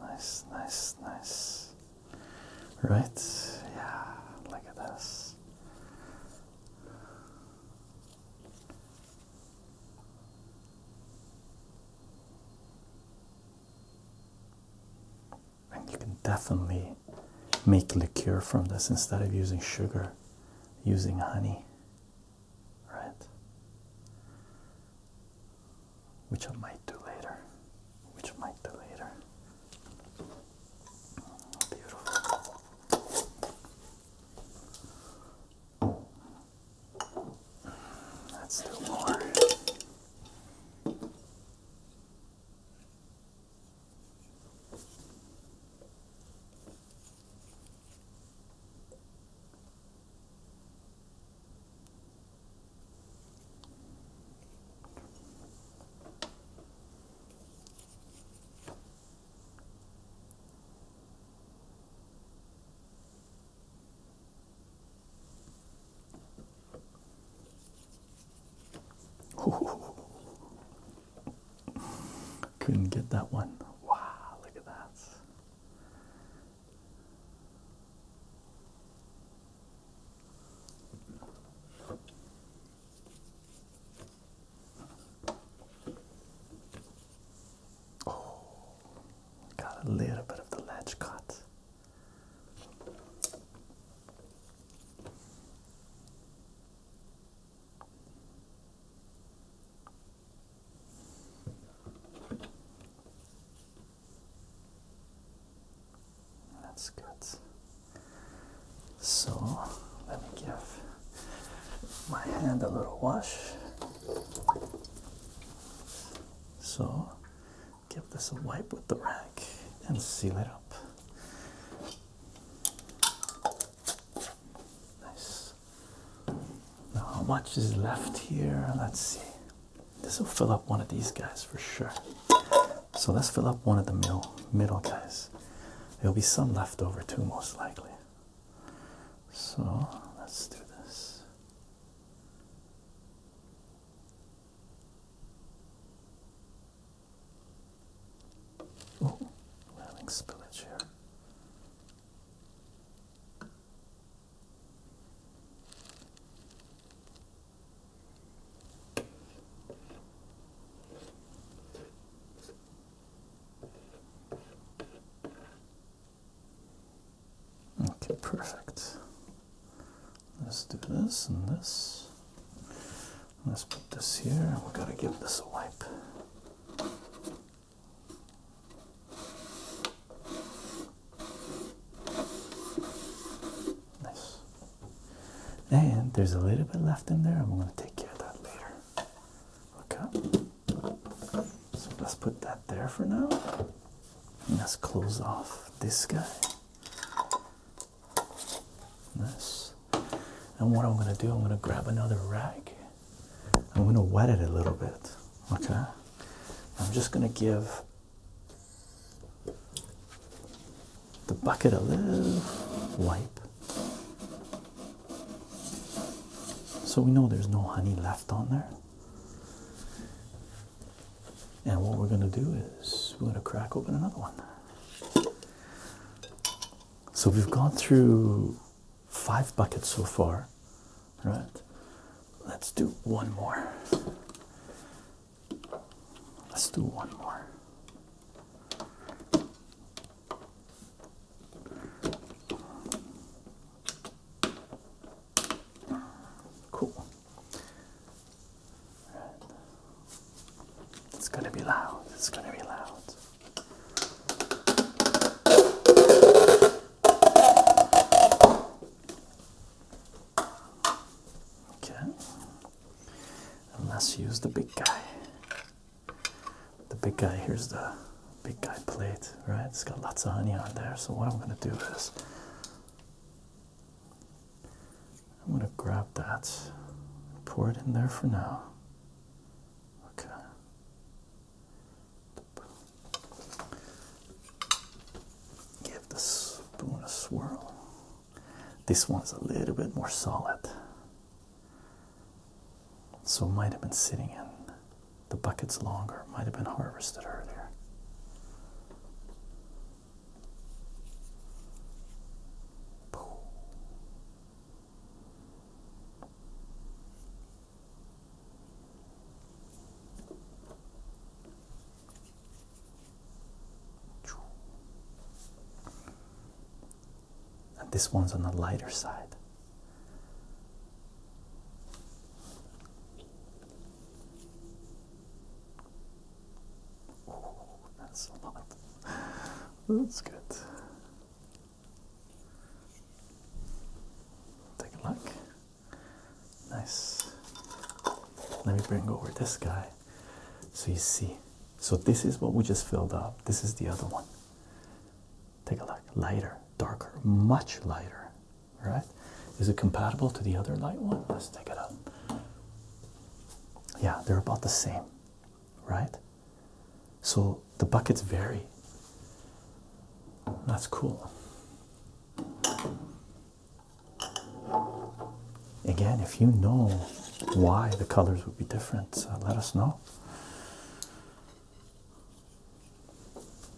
Nice, nice, nice. Right? Yeah, look at this. And you can definitely make liqueur from this instead of using sugar, using honey, right? which I might do later. Which I might do later. Beautiful. Let's do more. Couldn't get that one. Wow, look at that. Oh, got a little bit of the ledge cut. That's good. So let me give my hand a little wash. So give this a wipe with the rag and seal it up. Nice. How much is left here? Let's see. This will fill up one of these guys for sure. So let's fill up one of the middle middle guys. There'll be some left over too, most likely. So let's do this. Oh, we're having here. Okay, perfect. Let's do this and this. Let's put this here. We gotta give this a wipe. Nice. And there's a little bit left in there. I'm going to take care of that later. Okay. So let's put that there for now. And let's close off this guy. Nice. And what I'm going to do, I'm going to grab another rag. I'm going to wet it a little bit. Okay. I'm just going to give the bucket of little wipe so we know there's no honey left on there and what we're going to do is we're going to crack open another one so we've gone through five buckets so far right? Let's do one more. Let's do one more. Cool. It's gonna be loud. It's gonna be loud. Okay, let's use the big guy. The big guy here's the big guy plate, right? It's got lots of honey on there. So, what I'm going to do is I'm going to grab that, pour it in there for now. Okay. Give the spoon a swirl. This one's a little bit more solid. So it might have been sitting in the buckets longer, might have been harvested earlier. And this one's on the lighter side. Oh, that's a lot. That's good. Take a look. Nice. Let me bring over this guy so you see. So, this is what we just filled up. This is the other one. Take a look. Lighter, darker, much lighter. Right? Is it compatible to the other light one? Let's take it up. Yeah, they're about the same. Right? So, the buckets vary. That's cool. Again, if you know why the colors would be different, uh, let us know.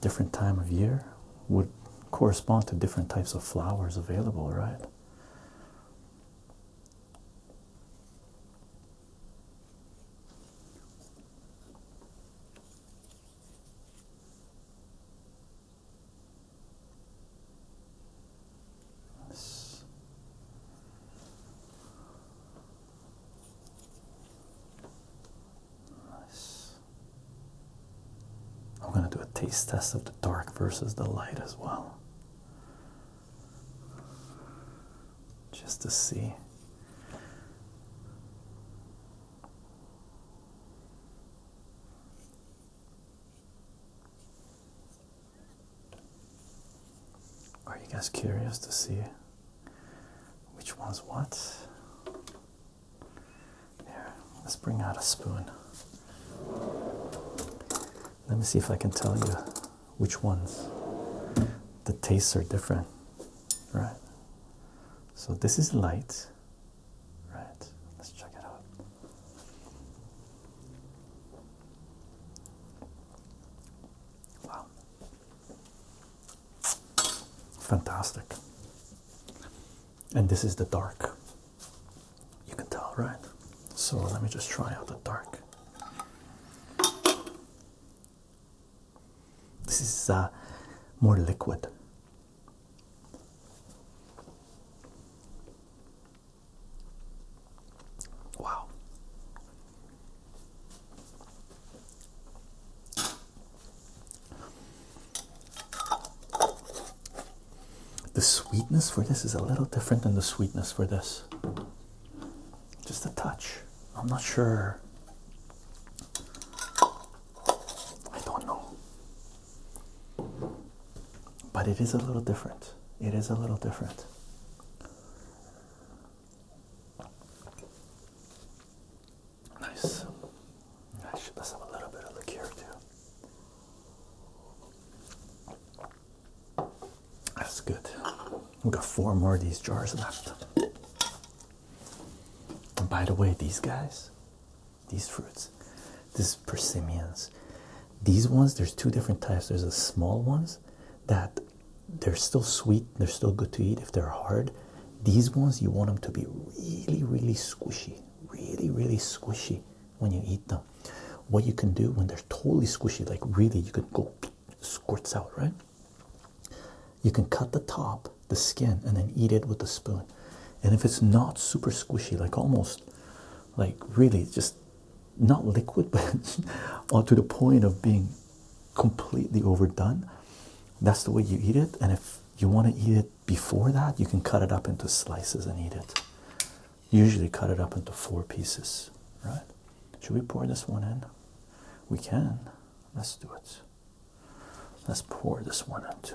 Different time of year would correspond to different types of flowers available, right? Yes. Nice. I'm going to do a taste test of the dark versus the light as well. Just to see. Are you guys curious to see which one's what? Here, let's bring out a spoon. Let me see if I can tell you which ones. The tastes are different, right? So this is light, Right, let's check it out. Wow. Fantastic. And this is the dark. You can tell, right? So let me just try out the dark. This is uh, more liquid. Wow. The sweetness for this is a little different than the sweetness for this. Just a touch. I'm not sure I don't know. But it is a little different. It is a little different. Nice. Nice. Let's have a little bit of look too. That's good. We've got four more of these jars left. And by the way, these guys, these fruits, these persimmons. These ones, there's two different types. There's the small ones that they're still sweet, they're still good to eat if they're hard. These ones, you want them to be really, really squishy, really, really squishy when you eat them. What you can do when they're totally squishy, like really, you can go squirts out, right? You can cut the top the skin and then eat it with the spoon. And if it's not super squishy, like almost like really just not liquid, [LAUGHS] but to the point of being completely overdone, that's the way you eat it. And if you want to eat it before that, you can cut it up into slices and eat it. Usually cut it up into four pieces, right? Should we pour this one in? We can. Let's do it. Let's pour this one in too.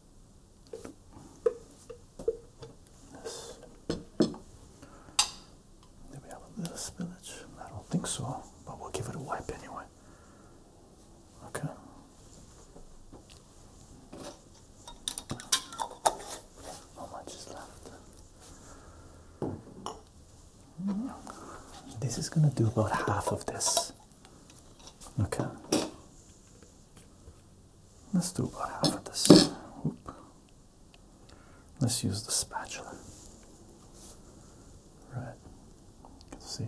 This. we have a little spillage? I don't think so, but we'll give it a wipe anyway. Okay. How much is left? Hmm. This is going to do about half of this. Okay. Let's do about half of this. Let's use the spatula. Right. see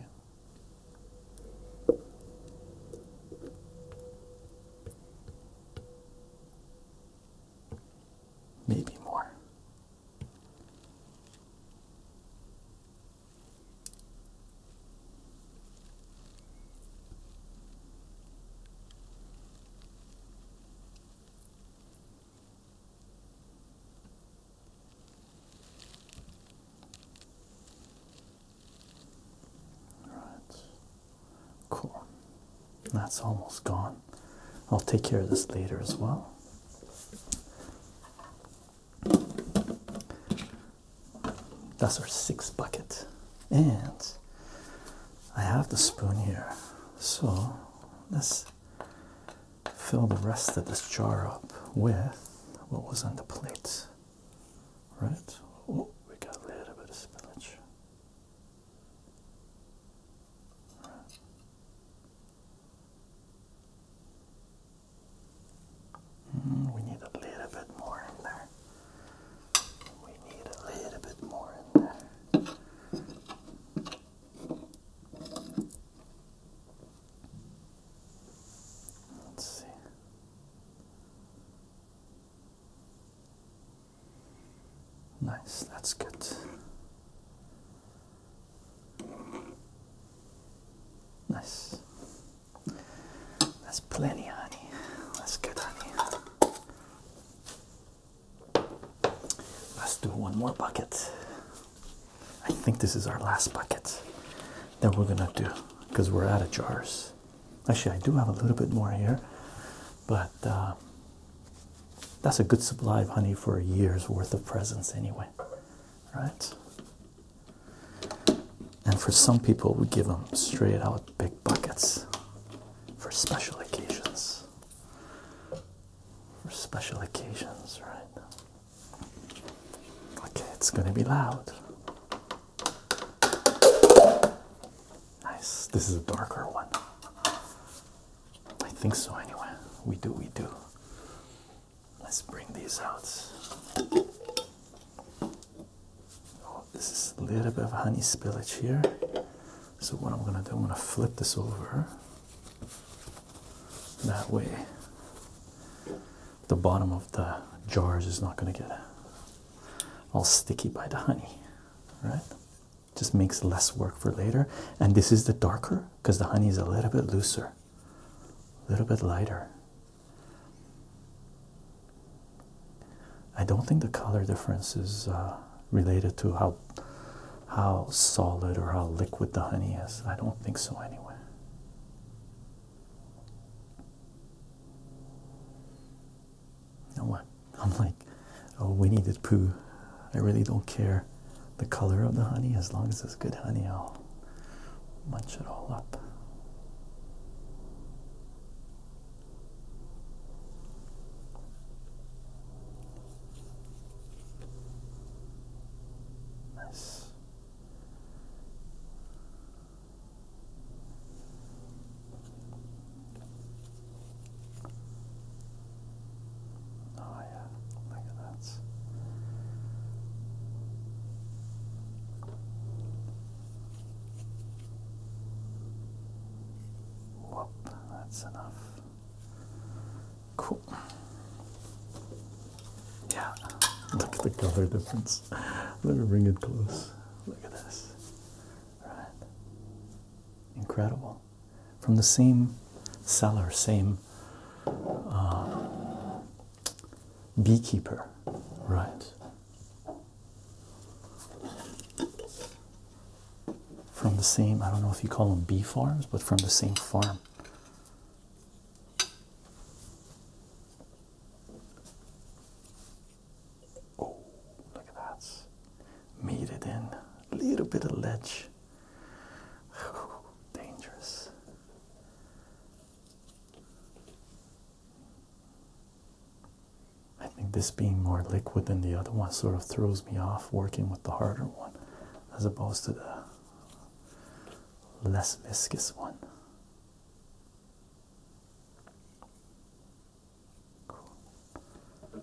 Maybe more. Right. Cool. That's almost gone. I'll take care of this later as well. That's our sixth bucket. And I have the spoon here. So let's fill the rest of this jar up with what was on the plate. Right? Oh, we got a little bit of spillage. Mm, we need a little bit more in there. We need a little bit more in there. Let's see. Nice, that's good. Nice. That's plenty, honey. That's good, honey. Let's do one more bucket. I think this is our last bucket that we're gonna do because we're out of jars. Actually, I do have a little bit more here, but uh, that's a good supply of honey for a year's worth of presents, anyway. Right? And for some people, we give them straight out big buckets for special occasions. For special occasions, right? Okay, it's going to be loud. Nice. This is a darker one. I think so, anyway. We do, we do. Let's bring these out. Oh, this is a little bit of honey spillage here. So what I'm gonna do, I'm gonna flip this over. That way the bottom of the jars is not gonna get all sticky by the honey, right? Just makes less work for later. And this is the darker because the honey is a little bit looser, a little bit lighter. I don't think the color difference is uh, related to how how solid or how liquid the honey is. I don't think so anyway. You what? [LAUGHS] I'm like, oh, we need it poo. I really don't care the color of the honey as long as it's good honey. I'll munch it all up. Nice. Oh, yeah, look at that. Whoop, that's enough. Cool. Yeah, look at the color difference. Let me bring it close. Look at this. Right. Incredible. From the same seller, same uh, beekeeper, right? From the same, I don't know if you call them bee farms, but from the same farm. Oh, look at that. Made it in. A little bit of ledge. Dangerous. I think this being more liquid than the other one sort of throws me off working with the harder one as opposed to the less viscous one. Cool.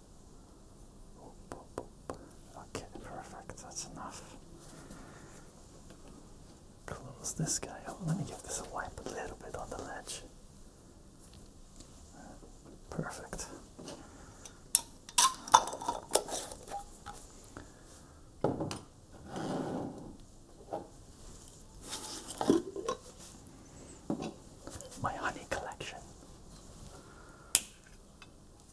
Okay, perfect. That's enough. Close this guy up. Let me give this a wipe a little bit on the ledge. Perfect. My honey collection.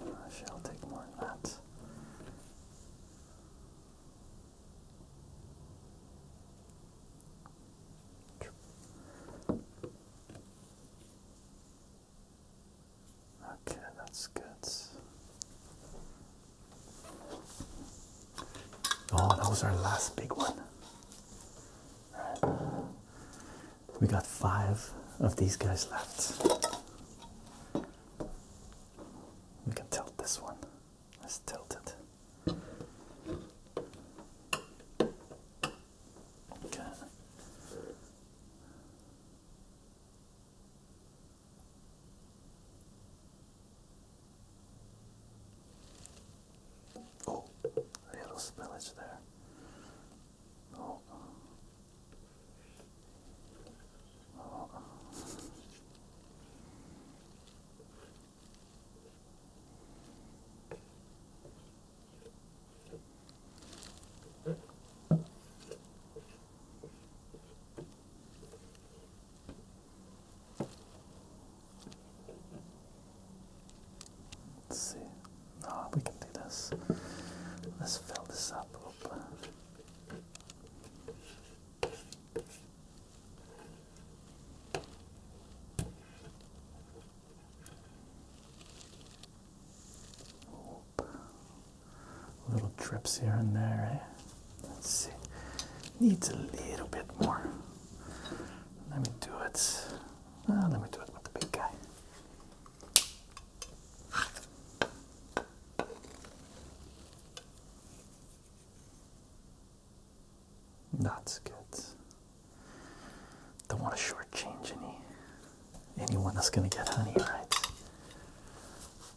I shall take more than that. Okay, that's good. Oh, that was our last big one. We got five of these guys left. We can tilt this one. Let's tilt it. Okay. Oh, a little spillage there. Oh, Let's see. No, we can do this. Let's fill this up a little bit. Little trips here and there, eh? Let's see. Needs a little bit more. Let me do it. Ah, let me do it with the big guy. That's good. Don't want to shortchange any anyone that's gonna get honey, right?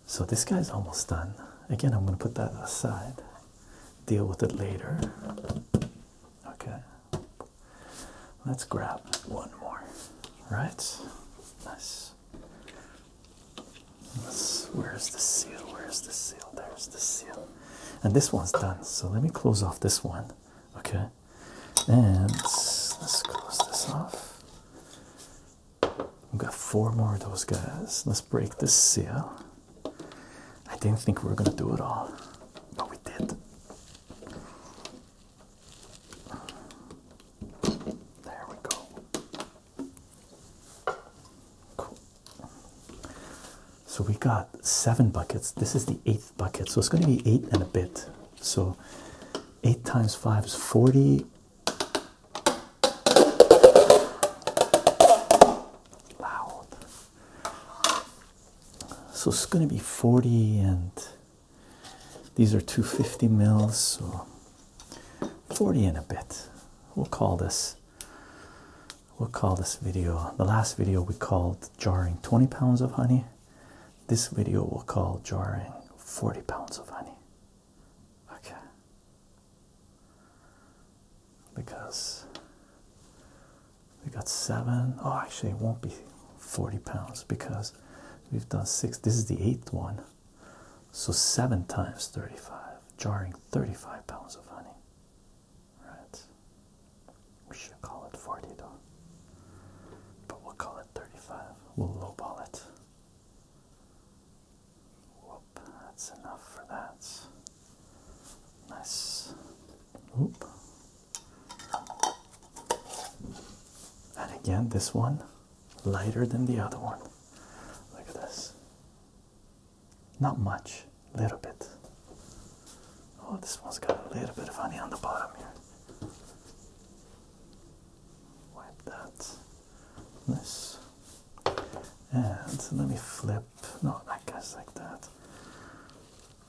So this guy's almost done. Again, I'm gonna put that aside. Deal with it later. Okay. Let's grab one more. Right? Nice where's the seal? Where's the seal? There's the seal. And this one's done. So let me close off this one. Okay. And let's close this off. We've got four more of those guys. Let's break this seal. I didn't think we were going to do it all, but we did. There we go. Cool. So we got seven buckets. This is the eighth bucket, so it's going to be eight and a bit. So eight times five is 40. Loud. So it's going to be 40 and these are 250 mils, so 40 in a bit. We'll call this. We'll call this video. The last video we called jarring 20 pounds of honey. This video we'll call jarring 40 pounds of honey. Okay. Because we got seven. Oh, actually, it won't be 40 pounds because we've done six. This is the eighth one. So 7 times 35, jarring 35 pounds of honey. Right? We should call it 40 though. But we'll call it 35. We'll lowball it. Whoop, that's enough for that. Nice. Oop. And again, this one lighter than the other one. Look at this. Not much, a little bit. Oh, this one's got a little bit of honey on the bottom here. Wipe that. Nice. And let me flip. No, that guy's like that.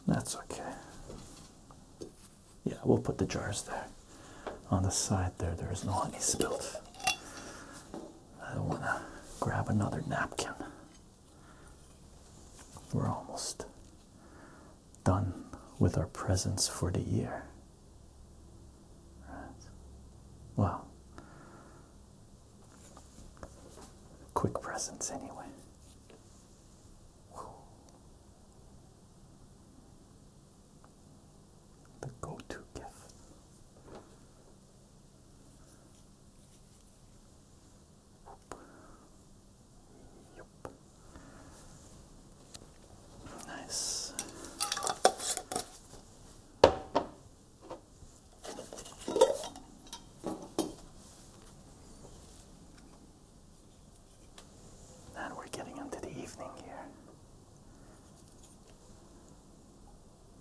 That's okay. Yeah, we'll put the jars there. On the side there, there is no honey spilled. I don't want to grab another napkin. We're almost done with our presents for the year. Right. Well, quick presents anyway the go to gift. Yep. Nice. Now we're getting into the evening here.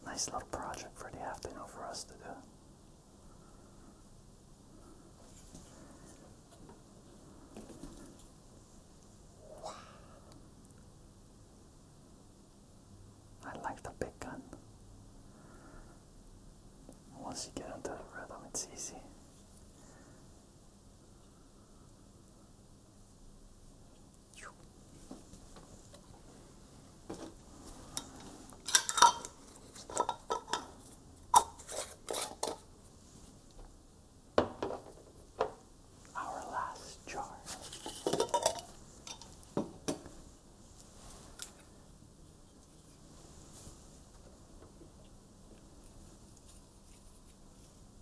Nice little project for the afternoon for us to do. I like the big gun. Once you get into the rhythm, it's easy. Our last jar.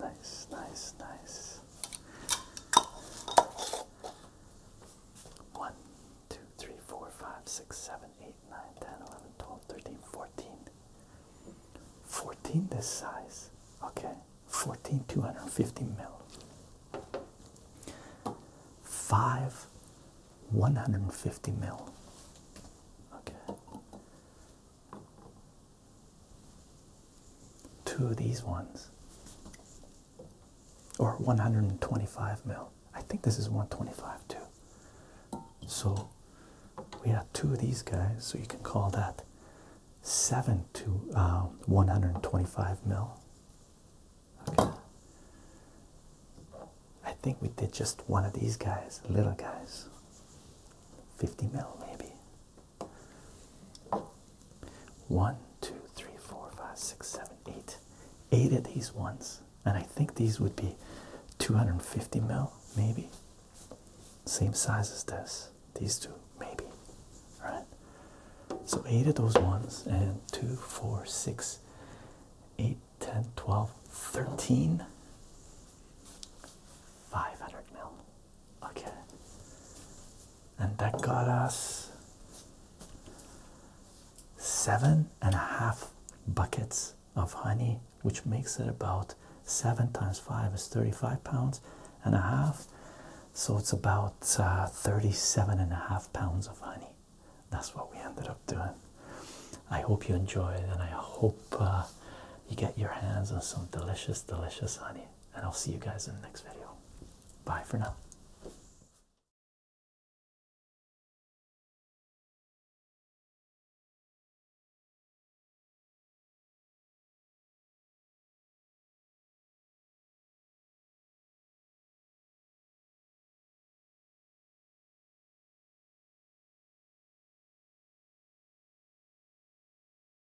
Nice, nice, nice. One, two, three, four, five, six, seven, eight, nine, ten, eleven, twelve, thirteen, fourteen. 14 this size. Okay. 14 250 mil. 5 150 mil. Okay. Two of these ones. Or 125 mil. I think this is 125 too. So we have two of these guys, so you can call that 7 to um, 125 mil. I think we did just one of these guys, little guys. 50 mil maybe. One, two, three, four, five, six, seven, eight. Eight of these ones. And I think these would be 250 mil, maybe. Same size as this. These two, maybe. Right? So eight of those ones and two, four, six, eight, 10, 12, 13. 500 mil. Okay. And that got us seven and a half buckets of honey, which makes it about seven times five is 35 pounds and a half. So it's about uh, 37 and a half pounds of honey. That's what we ended up doing. I hope you enjoyed and I hope uh, you get your hands on some delicious, delicious honey and I'll see you guys in the next video. Bye for now.